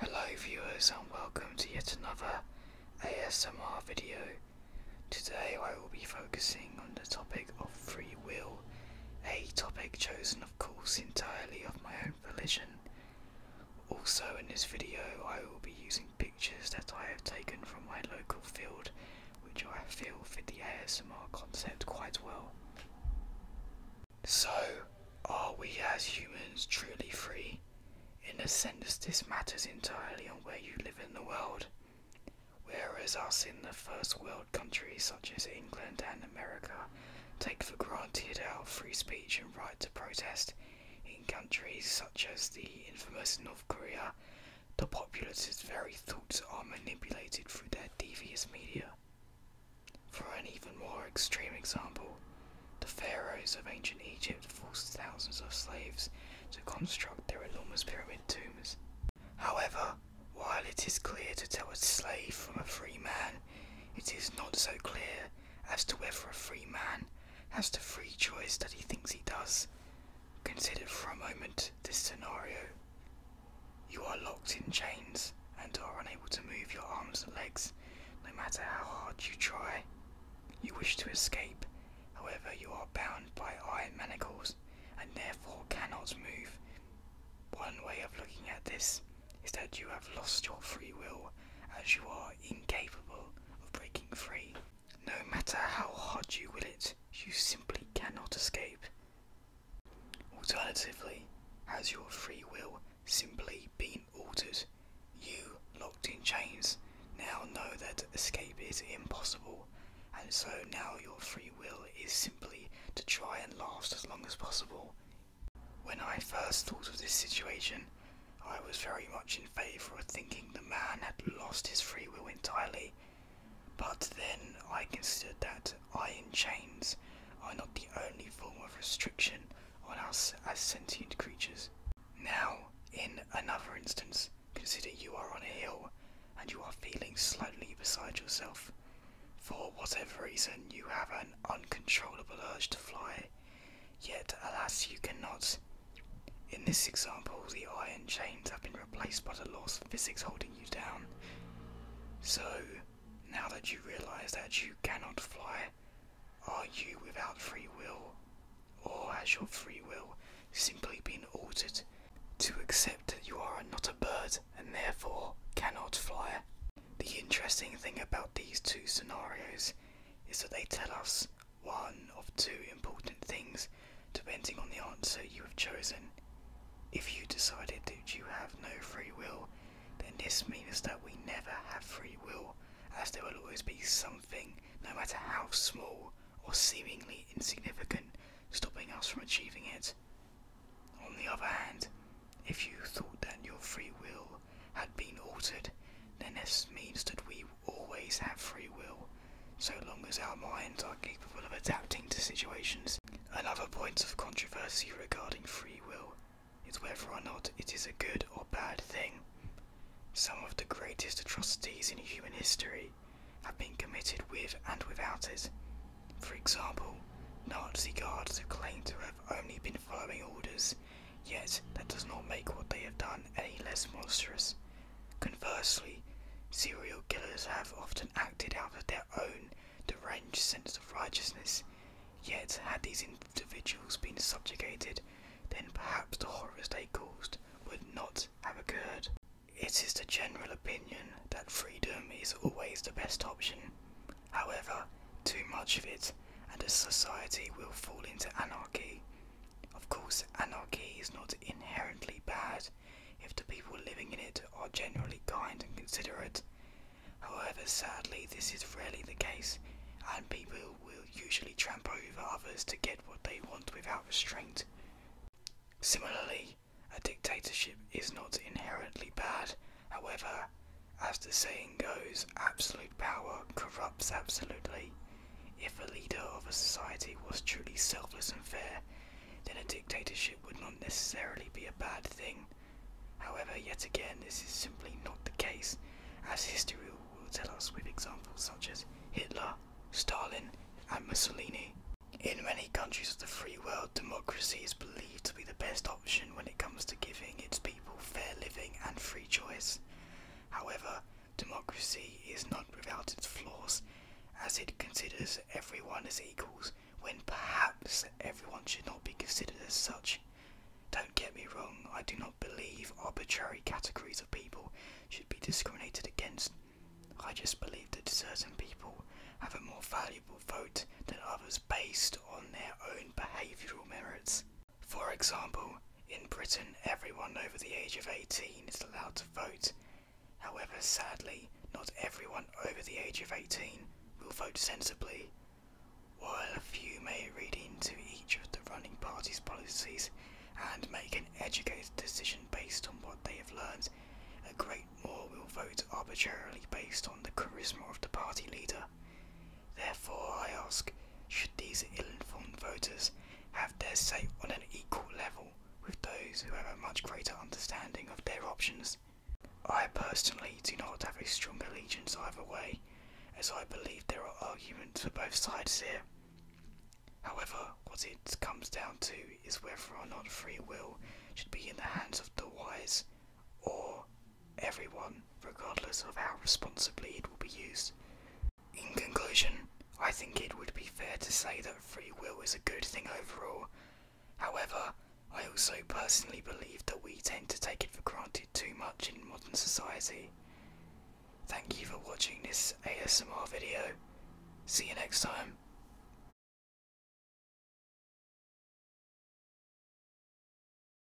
Hello viewers and welcome to yet another ASMR video. Today I will be focusing on the topic of free will, a topic chosen of course entirely of my own volition. Also in this video I will be using pictures that I have taken from my local field which I feel fit the ASMR concept quite well. So, are we as humans truly free? In a sense, this matters entirely on where you live in the world. Whereas us in the first world countries such as England and America take for granted our free speech and right to protest, in countries such as the infamous North Korea, the populace's very thoughts are manipulated through their devious media. For an even more extreme example, the pharaohs of ancient Egypt forced thousands of slaves to construct their enormous pyramid tombs. However, while it is clear to tell a slave from a free man, it is not so clear as to whether a free man has the free choice that he thinks he does, Consider for a moment this scenario. You are locked in chains and are unable to move your arms and legs no matter how hard you try. You wish to escape, however, you are bound by iron manacles and therefore cannot move. One way of looking at this is that you have lost your free will as you are incapable of breaking free. No matter how hard you will it, you simply cannot escape. Alternatively, has your free will simply been altered? You, locked in chains, now know that escape is impossible, and so now your free will is simply to try and last as long as possible. When I first thought of this situation, I was very much in favour of thinking the man had lost his free will entirely but then I considered that iron chains are not the only form of restriction on us as sentient creatures. Now, in another instance, consider you are on a hill and you are feeling slightly beside yourself. For whatever reason, you have an uncontrollable urge to fly, yet alas, you cannot. In this example, the iron chains have been replaced by the laws of physics holding you down. So, now that you realize that you cannot fly, are you without free will? Or has your free will simply been altered to accept that you are not a bird and therefore cannot fly? The interesting thing about these two scenarios is that they tell us one of two important things depending on the answer you have chosen. If you decided that you have no free will, then this means that we never have free will, as there will always be something, no matter how small or seemingly insignificant, stopping us from achieving it. On the other hand, if you thought that your free will had been altered, then this means that we always have free will, so long as our minds are capable of adapting to situations. Another point of controversy regarding free will is whether or not it is a good or bad thing. Some of the greatest atrocities in human history have been committed with and without it. For example, Nazi guards who claim to have only been following orders, yet that does not make what they have done any less monstrous. Conversely, serial killers have often acted out of their own deranged sense of righteousness, yet had these individuals been subjugated, then perhaps the horrors they caused would not have occurred. It is the general opinion that freedom is always the best option. However, too much of it, and a society will fall into anarchy. Of course, anarchy is not inherently bad if the people living in it are generally kind and considerate. However, sadly, this is rarely the case, and people will usually tramp over others to get what they want without restraint. Similarly, a dictatorship is not inherently bad, however, as the saying goes, absolute power corrupts absolutely, if a leader of a society was truly selfless and fair, then a dictatorship would not necessarily be a bad thing. However, yet again, this is simply not the case, as history will tell us with examples such as Hitler, Stalin, and Mussolini. In many countries of the free world, democracy is believed to be the best option when it comes to giving its people fair living and free choice. However, Democracy is not without its flaws, as it considers everyone as equals when perhaps everyone should not be considered as such. Don't get me wrong, I do not believe arbitrary categories of people should be discriminated against. I just believe that certain people have a more valuable vote than others based on their own behavioural merits. For example, in Britain, everyone over the age of 18 is allowed to vote. However, sadly, not everyone over the age of 18 will vote sensibly. While a few may read into each of the running party's policies and make an educated decision based on what they have learned, a great more will vote arbitrarily based on the charisma of the party leader. Therefore, I ask, should these ill-informed voters have their say on an equal level with those who have a much greater understanding of their options? I personally do not have a strong allegiance either way, as I believe there are arguments for both sides here. However, what it comes down to is whether or not free will should be in the hands of the wise or everyone, regardless of how responsibly it will be used. In conclusion, I think it would be fair to say that free will is a good thing overall. However, I also personally believe that we tend to take it for granted too much in modern society. Thank you for watching this ASMR video. See you next time.